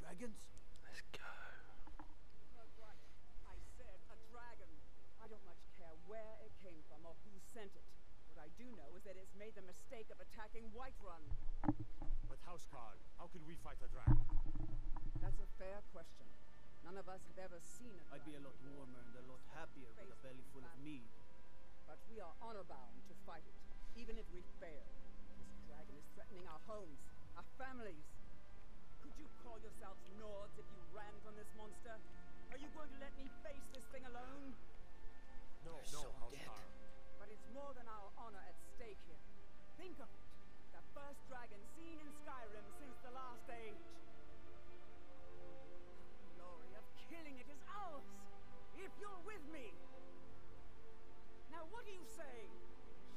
Dragons? Let's go. I said a dragon. I don't much care where it came from or who sent it. What I do know is that it's made the mistake of attacking Whiterun. But Housecarl, how could we fight a dragon? That's a fair question. None of us have ever seen a I'd be a lot warmer and a lot happier with a belly full of meat. But we are honor-bound to fight it, even if we this dragon is threatening our homes, our families. Could you call yourselves Nords if you ran from this monster? Are you going to let me face this thing alone? No, You're no, so But it's more than our honor at stake here. Think of it. The first dragon seen in Skyrim since the last age. glory killing it is ours! If you're with me! Now what do you say?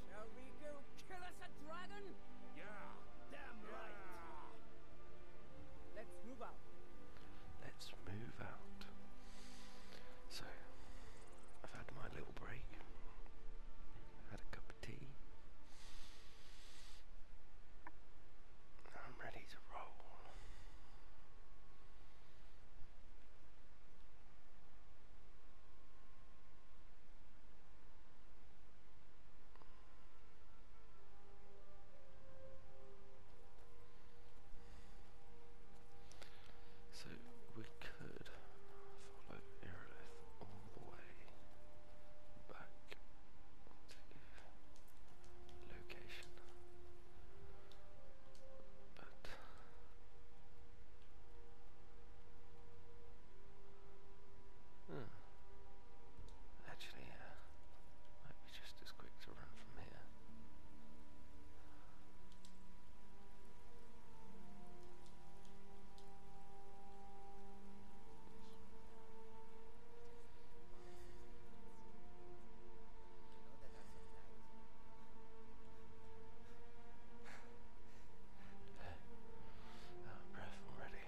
Shall we go kill us a dragon? Yeah. Damn right. Let's move out. Let's move out. So, I've had my little break. Had a cup of tea. I'm ready to roll. So we could follow Aerolith all the way back to location, but Hmm. Actually, uh, might be just as quick to run from here. Out of breath already.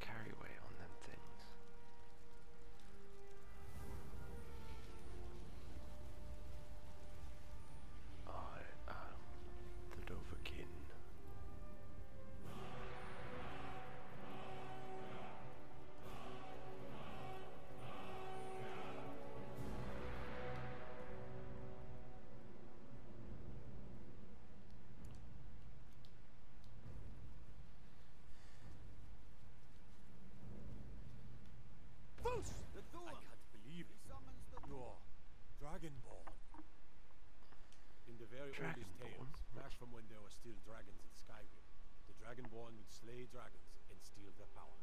Carry away on them things. I am the Doverkin. I can't believe it. you Dragonborn. In the very Dragonborn? oldest tales, back from when there were still dragons in Skyrim, the Dragonborn would slay dragons and steal their power.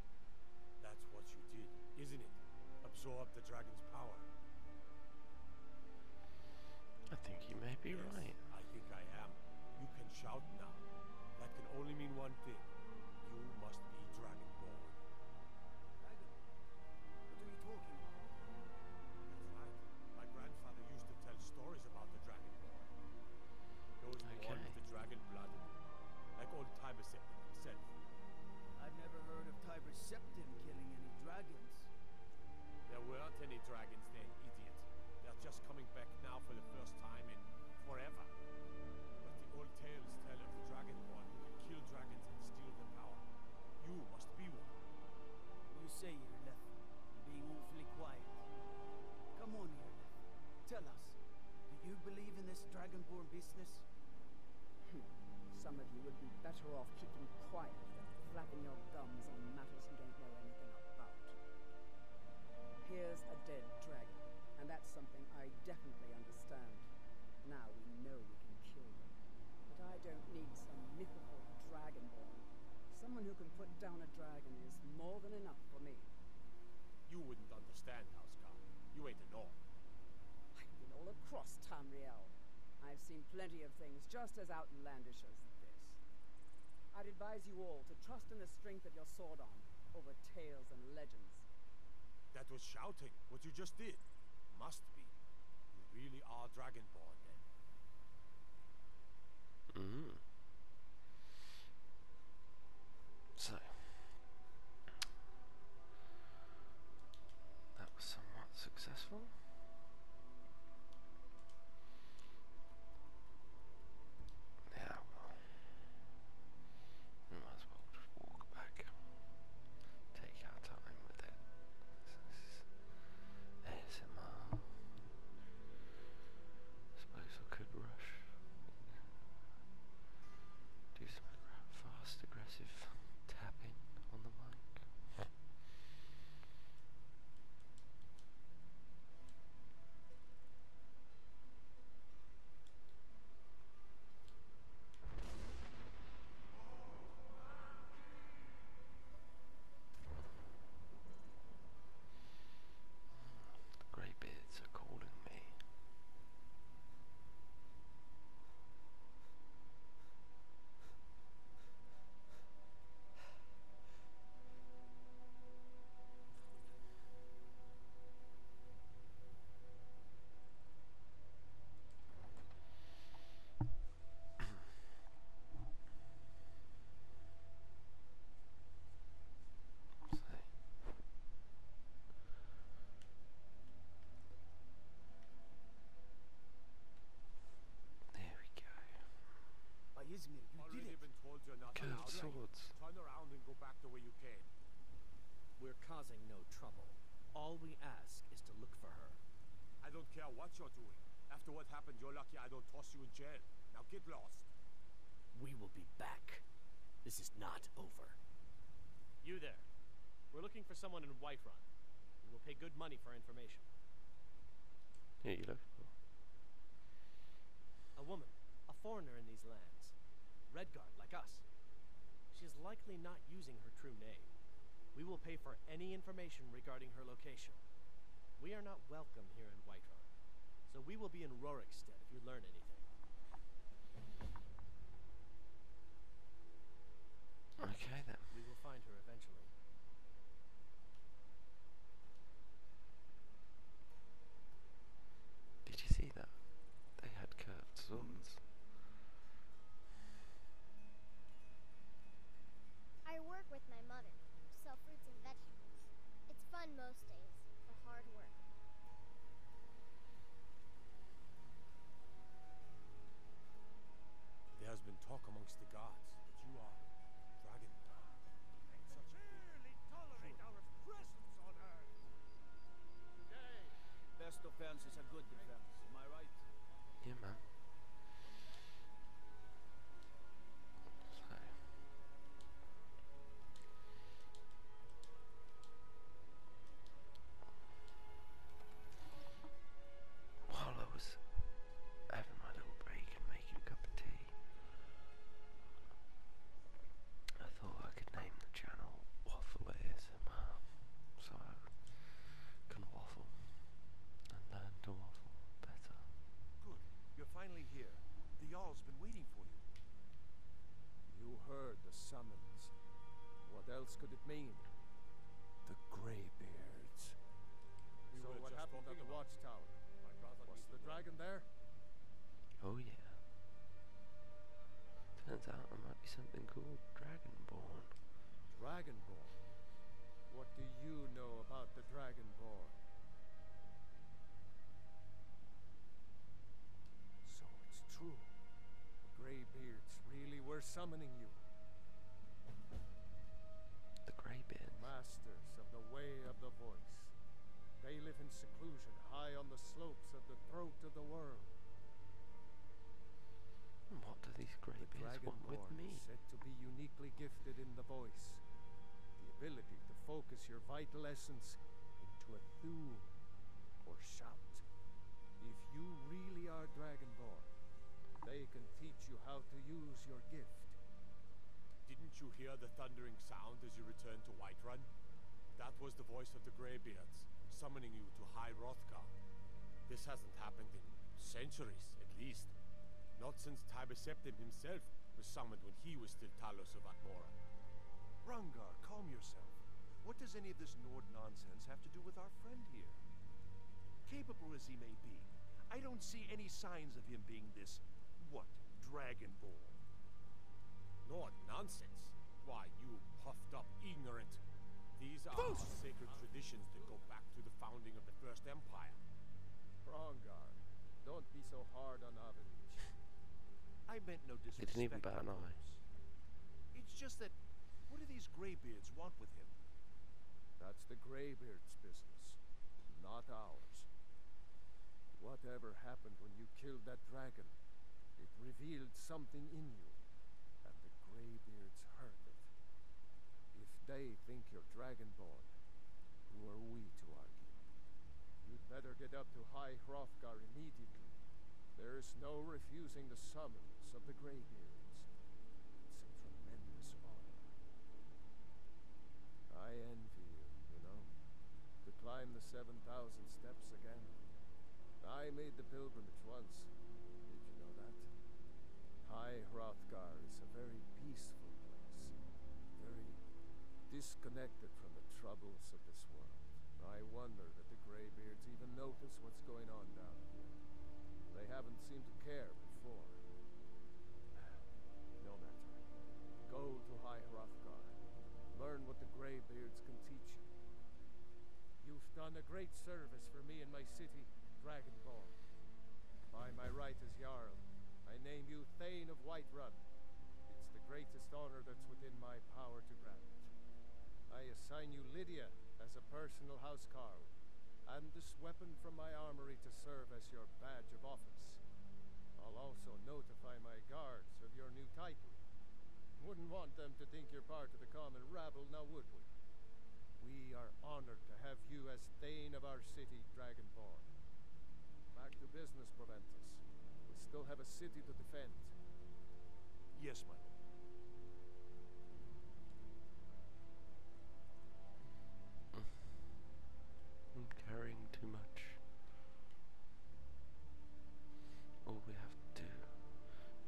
That's what you did, isn't it? Absorb the dragon's power. I think you may be right. I think I am. You can shout now. That can only mean one thing. You must be Dragonborn. Dragon? What are you talking about? My grandfather used to tell stories about the Dragonborn. Those Okay. with the dragon blood, like old Tiber Septim himself. I've never heard of Tiber Septim killing any dragons. There weren't any dragons there, idiot. They're just coming back now for the first time in forever. But the old tales tell of the Dragonborn who can kill dragons and steal their power. You must be one. You say, you Irleth, being awfully quiet. Come on, Irleth. Tell us. Do you believe in this Dragonborn business? Hmm. Some of you would be better off keeping quiet than flapping your gums on matters you don't know anything about. Here's a dead dragon, and that's something I definitely understand. Now we know we can kill them. But I don't need some mythical Dragonborn. Someone who can put down a dragon is more than enough for me. You wouldn't understand, Housekop. You ain't a North. I've been all across Tamriel. I've seen plenty of things just as outlandish as this. I'd advise you all to trust in the strength of your sword arm over tales and legends. That was shouting, what you just did. Must be. You really are Dragonborn, then. hmm so that was somewhat successful. Yeah, we might as well just walk back, take our time with it. ASMR. suppose I could rush do some fast aggressive tapping on the mic. Great beard. It's are calling me. See. There we go. Izmir, you did it. Been told swords. Turn around and go back the way you came. We're causing no trouble. All we ask is to look for her. I don't care what you're doing. After what happened, you're lucky I don't toss you in jail. Now get lost. We will be back. This is not over. You there. We're looking for someone in Whiterun. We will pay good money for information. Who are you looking for? A woman, a foreigner in these lands. Redguard, like us. She is likely not using her true name. We will pay for any information regarding her location. We are not welcome here in Whiterun, so we will be in Rorik's Okay then. We will find her eventually. Did you see that? They had curved swords. I work with my mother, sell fruits and vegetables. It's fun most. There has been talk amongst the gods that you are Dragon They such tolerate our presence on Earth. Today, best offense is a good defense. Am I right? Yeah, man. So. While I was having my little break and making a cup of tea, I thought I could name the channel Waffle So I can waffle and learn to waffle better. Good, you're finally here. The Jarl's you? heard the summons. What else could it mean? The Greybeards. We so what happened at the watchtower? Was the dragon there? Oh yeah. Turns out there might be something called Dragonborn. Dragonborn? What do you know about the Dragonborn? So it's true. The graybeards really were summoning you. The Greybeards? Masters of the Way of the Voice. They live in seclusion high on the slopes of the throat of the world. Hmm, what do these greybeards the want with me? said to be uniquely gifted in the voice. The ability to focus your vital essence into a or shout. If you really are Dragonborn, they can teach you how to use your gift. Didn't you hear the thundering sound as you returned to Whiterun? That was the voice of the Greybeards, summoning you to High Rothgar. This hasn't happened in centuries, at least. Not since Tiber Septim himself was summoned when he was still Talos of Atmor. Morin. Rangar, calm yourself. What does any of this Nord nonsense have to do with our friend here? Capable as he may be, I don't see any signs of him being this, what, Dragonborn. Nord nonsense? Why, you puffed up ignorant. These are sacred traditions that go back to the founding of the First Empire. Prongar, don't be so hard on Avanish. I meant no disrespect. They didn't even bat an eye. It's just that, what do these graybeards want with him? That's the graybeards' business, not ours. Whatever happened when you killed that dragon, it revealed something in you, that the graybeards heard If they think you're dragonborn, who are we to argue? You'd better get up to High Hrothgar immediately. There is no refusing the summons of the Greybeards. It's tremendous honor. I envy you, you know, to climb the 7,000 steps again. I made the pilgrimage once. Did you know that? High Hrothgar is a very peaceful place. Very disconnected from the troubles of this world. I wonder that the Greybeards even notice what's going on down here. They haven't seemed to care before. No matter. Go to High Hrothgar. Learn what the Greybeards can teach you. You've done a great service for me and my city, Dragonborn. By my right as Jarl, I name you Thane of Whiterun. It's the greatest honor that's within my power to grant. I assign you Lydia as a personal housecarl, and this weapon from my armory to serve as your badge of office. I'll also notify my guards of your new title. Wouldn't want them to think you're part of the common rabble, now would we? We are honored to have you as Thane of our city, Dragonborn. Back to business. We still have a city to defend. Yes, my lord. Hmm. I'm carrying too much. All we have to do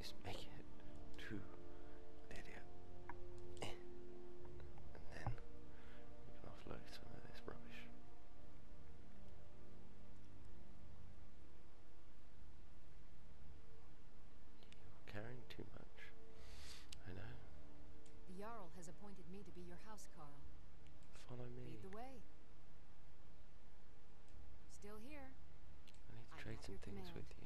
is make it to Lydia. and then we can offload some of this rubbish. You're carrying too much. I know. The Jarl has appointed me to be your house, Carl. Follow me. Lead the way. Still here. I need to trade some things with you.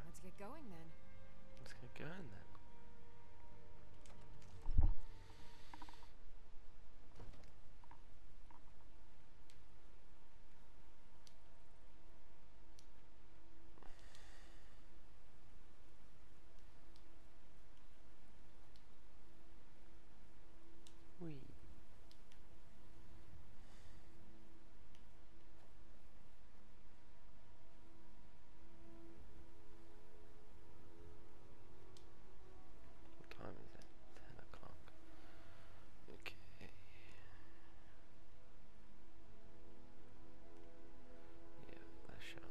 Let's get going then. Let's get going then. Whee. What time is it? Ten o'clock. Okay. Yeah, that's shot.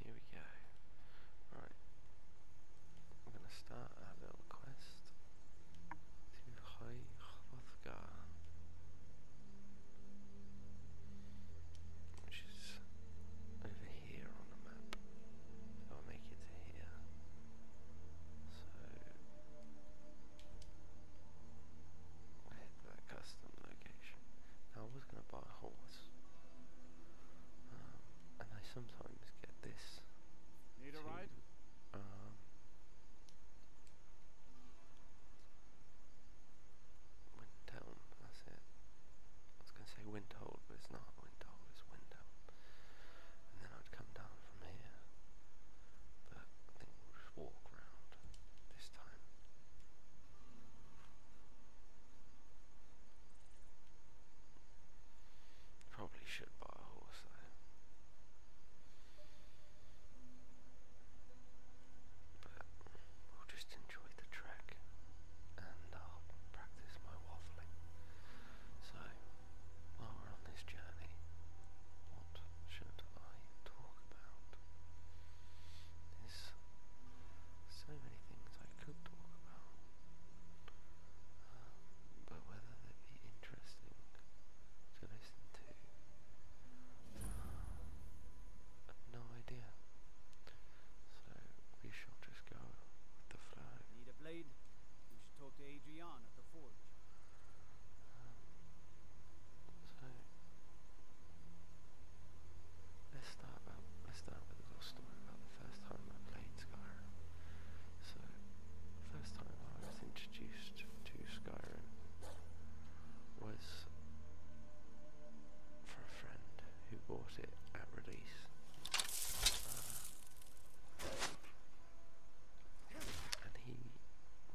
Here we go. Right. I'm going to start our little quest to High Hrothgar, which is over here on the map. I'll make it here. Hit that custom location. I was going to buy a horse, um, and I sometimes get this. Need a ride? Um, Windtown, that's it. I was going to say Windhold, but it's not Windhold, it's Windtown. And then I'd come down from here. But I we'll just walk around Probably should buy a horse But we'll just enjoy the track and I'll practice my waffling. So, while we're on this journey, should I talk about? There's so many things I could talk about, uh, but whether they'd be interesting to listen to, uh, no idea. So we shall just go with the flow. Need a blade? You should talk to Adrian at the forge. Um, let's start let's start with a little story about the first time I played Skyrim. So the first time I was introduced to Skyrim was for a friend who bought it at release. Uh, and he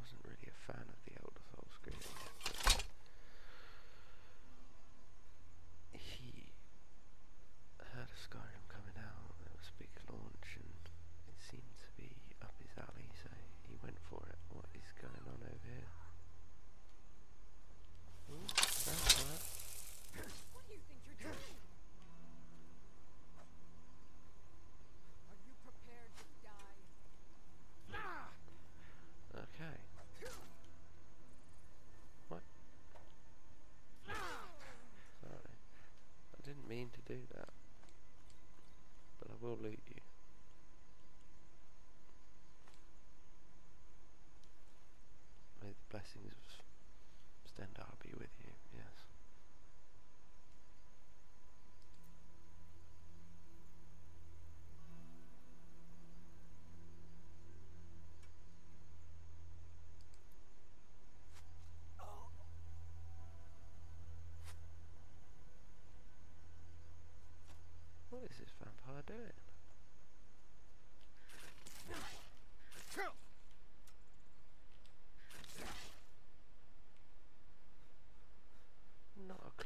wasn't really a fan of the Elder Souls game, he heard of Skyrim coming out, there was a big launch and it seemed to be up his alley so he went for it. What is going on over here? Okay. What? Sorry. I didn't mean to do that. But I will loot you. May the blessings of Stendar be with you, yes. What is this vampire doing? Not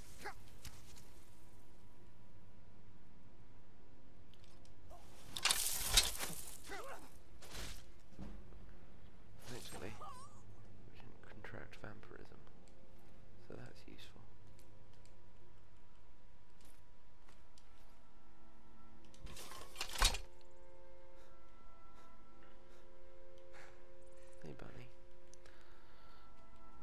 Thankfully, we did contract vampirism, so that's useful. Hey, bunny.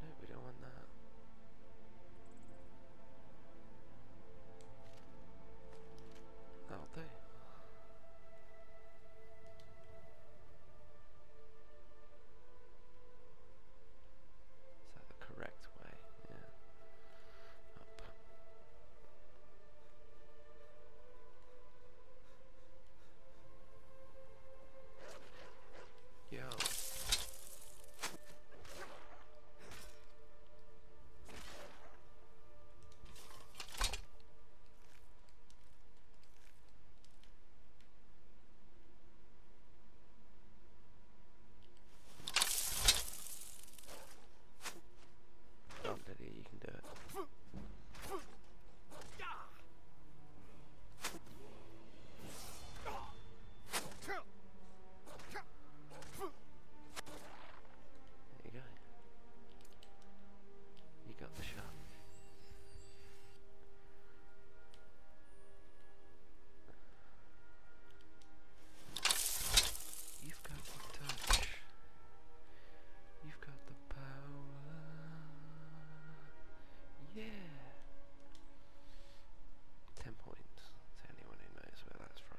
No, we don't want that. that do. Is that the correct way? Yeah. Yo. Come, oh, Lydia, you can do it. There you go. You got the shot. You've got the touch. You've got the power. Yeah. Ten points to anyone who knows where that's from.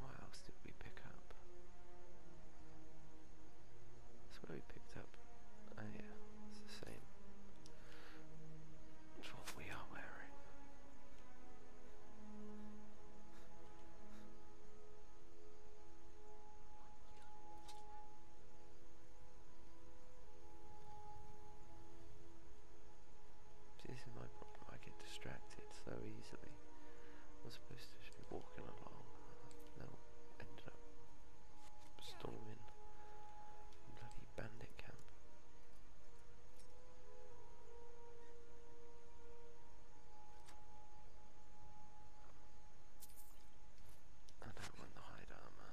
What else did we pick up? That's where we picked up. Oh, yeah, it's the same. It's what we are wearing. this is my problem. I get distracted so easily. I was supposed to be walking along, no, ended up storming bloody bandit camp. I don't want the hide armor.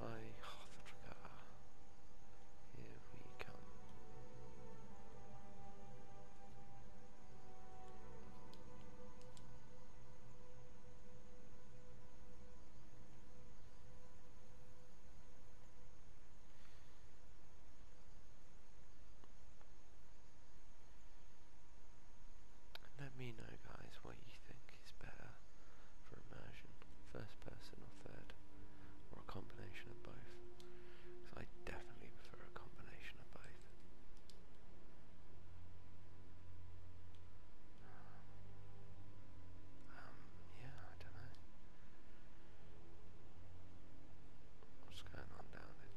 Hi, Hothraka. Here we come. Let me know, guys, what you think is better for immersion, first person or third, or a combination of both. I definitely prefer a combination of both. Um, yeah, I don't know. What's going on down there?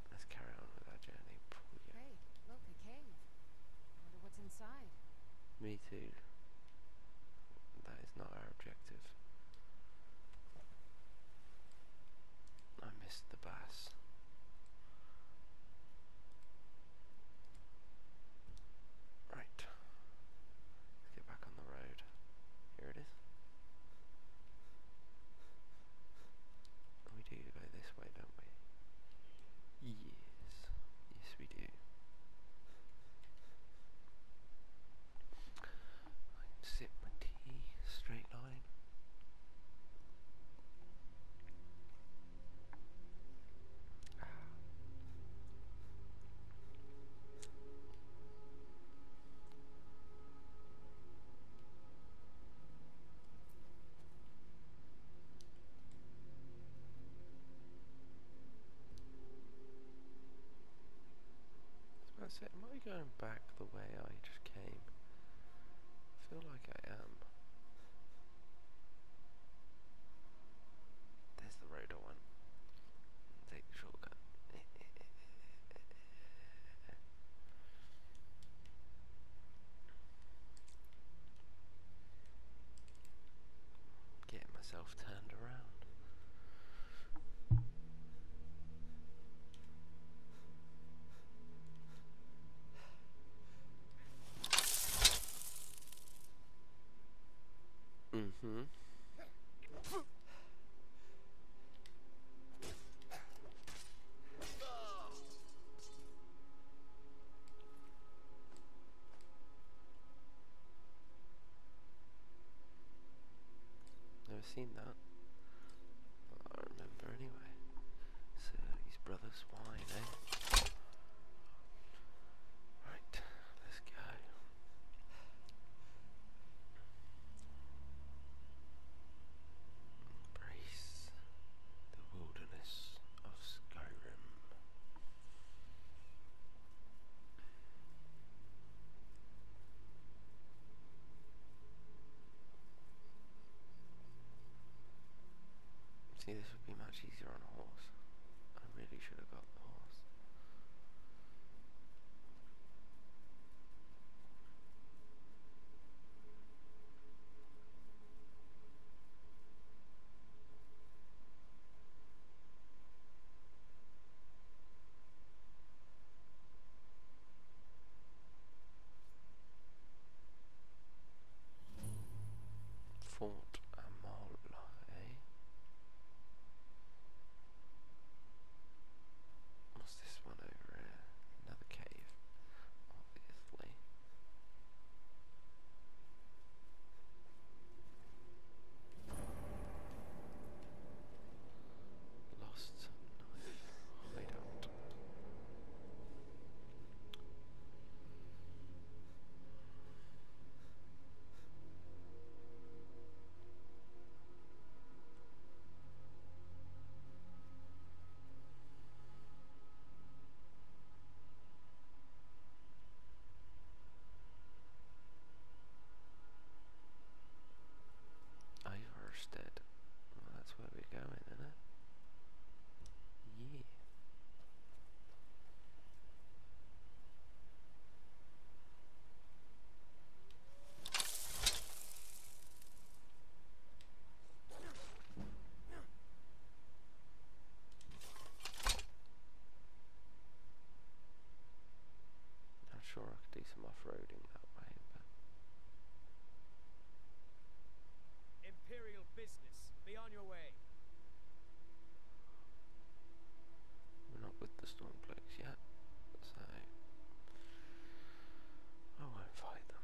Let's carry on with our journey. Hey, look, a cave. I wonder what's inside. Me too. That is not our objective. I missed the bass. Right. Let's get back on the road. Here it is. We do go this way, don't we? Yes. Yes, we do. I my tea, straight line about it. Am I going back the way I just came? I feel like I am. There's the road one. Take the shortcut. Getting myself turned around. Mm-hmm. Never seen that. I remember anyway. So his brother's wine, eh? Right, let's go. Embrace the wilderness. See, this would be much easier on a horse. I really should have got a horse. Fort Amola, What's this one over here? Another cave, obviously. Lost knife hideout. Overstead. Well, that's where we're going, isn't it? Yeah. Not sure I could do some off-roading that way, but... Imperial business, be on your way. We're not with the Stormcloaks yet, so... I won't fight them.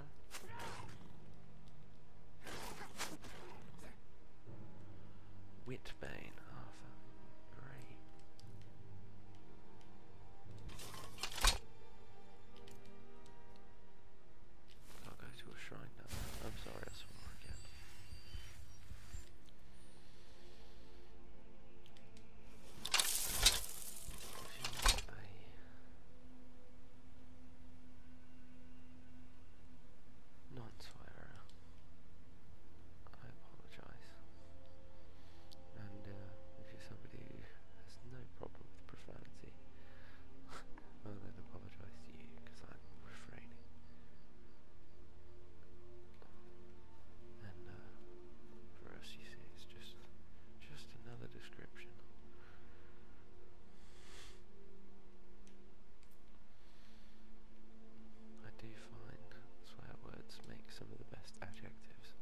Sure. Arthur. i I'll go to a shrine now. I'm sorry, I swore again not I apologize. And uh, if you're somebody who has no problem with profanity, well then apologize to you because I'm refraining. And uh, for us, you see, it's just just another description I do find swear words make some of the best adjectives.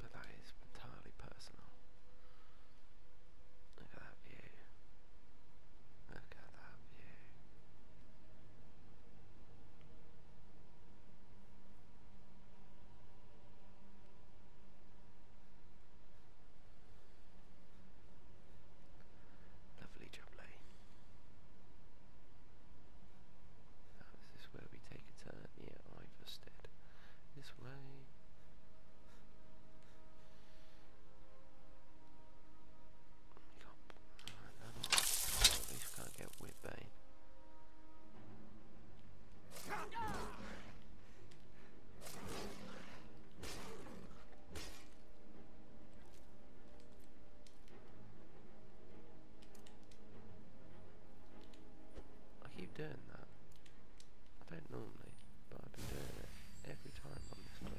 But that is entirely personal. Look at that view. Look at that view. Lovely jubbly. is this where we take a turn? Yeah, Iverstead. This way. Oh, we can't, at least can't get Whitbane. I keep doing that. I don't normally, but I've been doing it every time on this playthrough.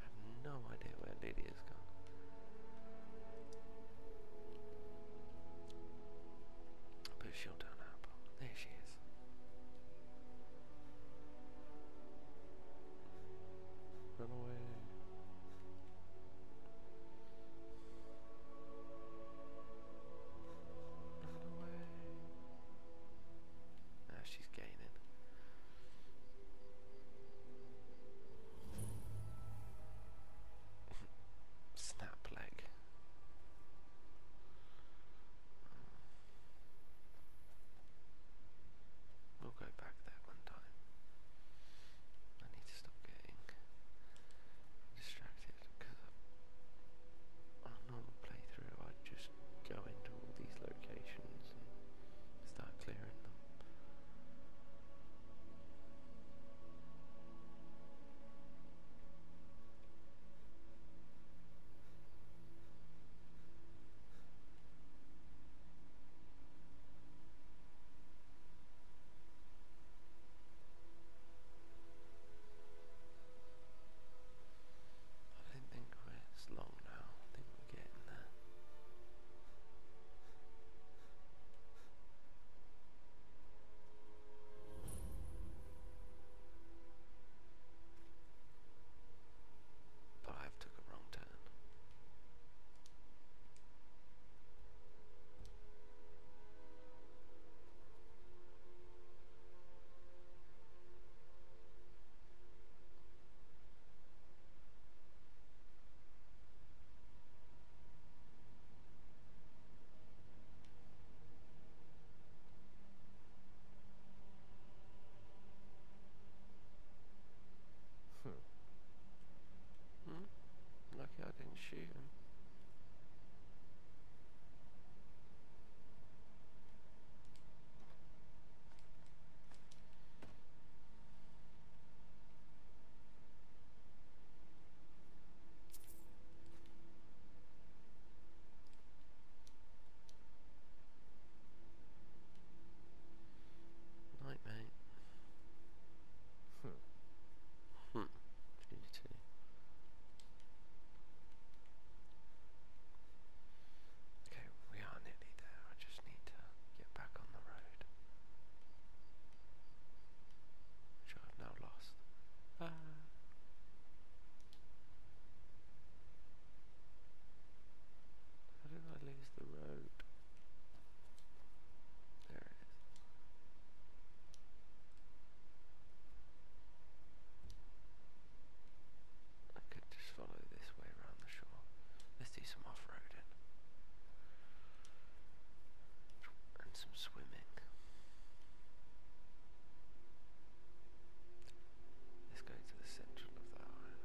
I have no idea where Lily has gone. But she'll turn up. There she is. Run away. Now she's gaining. Snap leg. We'll go back there one time. I need to stop getting distracted because on another playthrough I'd just go into all these locations and start clearing them. I don't think we're it's long now. I think we're getting there. But I've took a wrong turn. Hmm. Hmm? Lucky I didn't shoot him. Night, mate. Hmm. Hmm. Okay, we are nearly there. I just need to get back on the road. Which I've now lost. How did I lose the road? There I could just follow this way around the shore. Let's do some off roading and some swimming. Let's go to the central of the island.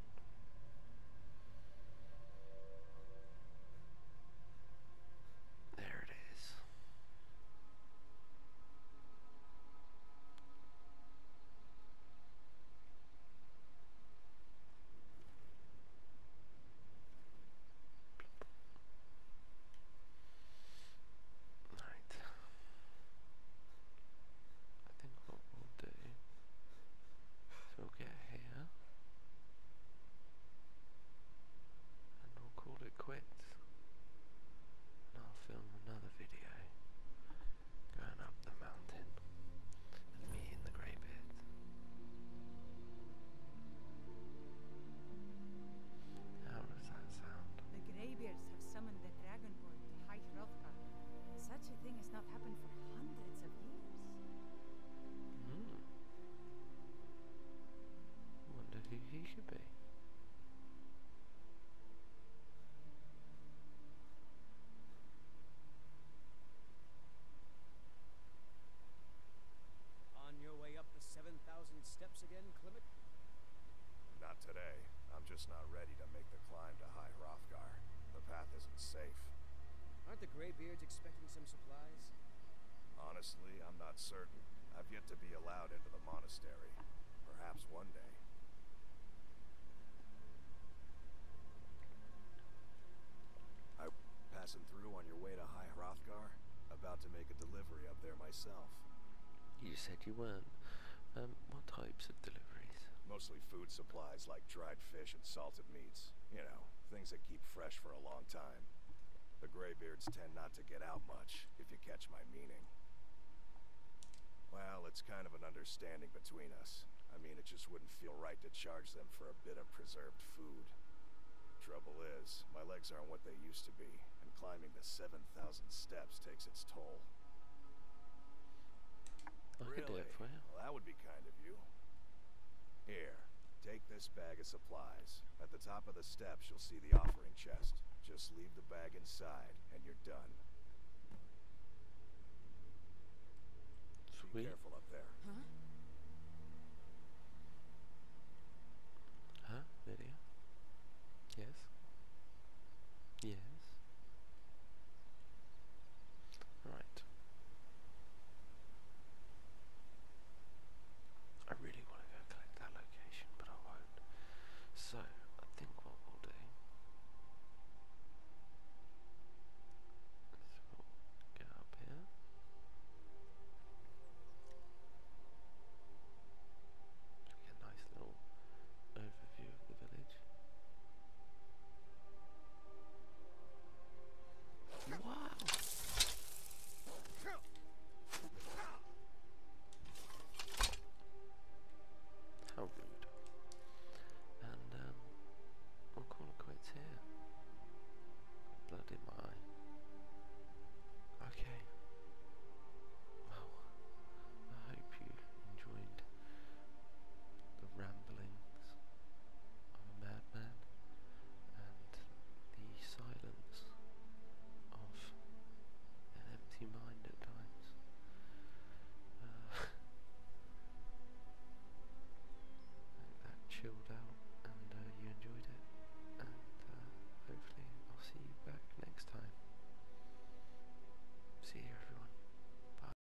There it is. Right. I think we'll do so we'll get here. And we'll call it quits. And I'll film another video going up the mountain and meeting the greybeard. How does that sound? The greybeards have summoned the dragonborn to High Hrothgar. Such a thing is not Hmm. Wonder who he could be. On your way up the 7,000 steps again, Clement? Not today. I'm just not ready to make the climb to High Hrothgar. The path isn't safe. Aren't the graybeards expecting some supplies? Honestly, I'm not certain. I've yet to be allowed into the monastery. Perhaps one day. I am passing through on your way to High Hrothgar? About to make a delivery up there myself. You said you weren't. Um, what types of deliveries? Mostly food supplies like dried fish and salted meats. You know, things that keep fresh for a long time. The graybeards tend not to get out much, if you catch my meaning. Well, it's kind of an understanding between us. I mean, it just wouldn't feel right to charge them for a bit of preserved food. Trouble is, my legs aren't what they used to be, and climbing the 7,000 steps takes its toll. I could do it for you. that would be kind of you. Here, take this bag of supplies. At the top of the steps, you'll see the offering chest. Just leave the bag inside, and you're done. Sweet. careful up there. Huh? Huh? Video? Yes? Yes? Right. I really want to go collect that location, but I won't. So, I think what we'll do is we'll get up here. Get a nice little overview of the village. Wow. How rude. And um what corner quits here? Blood in my eye. Okay. Well, I hope you enjoyed the ramblings of a madman and the silence of an empty mind at times. Uh, that chilled out and uh, you enjoyed it and uh, hopefully I'll see you back next time. See you everyone. Bye.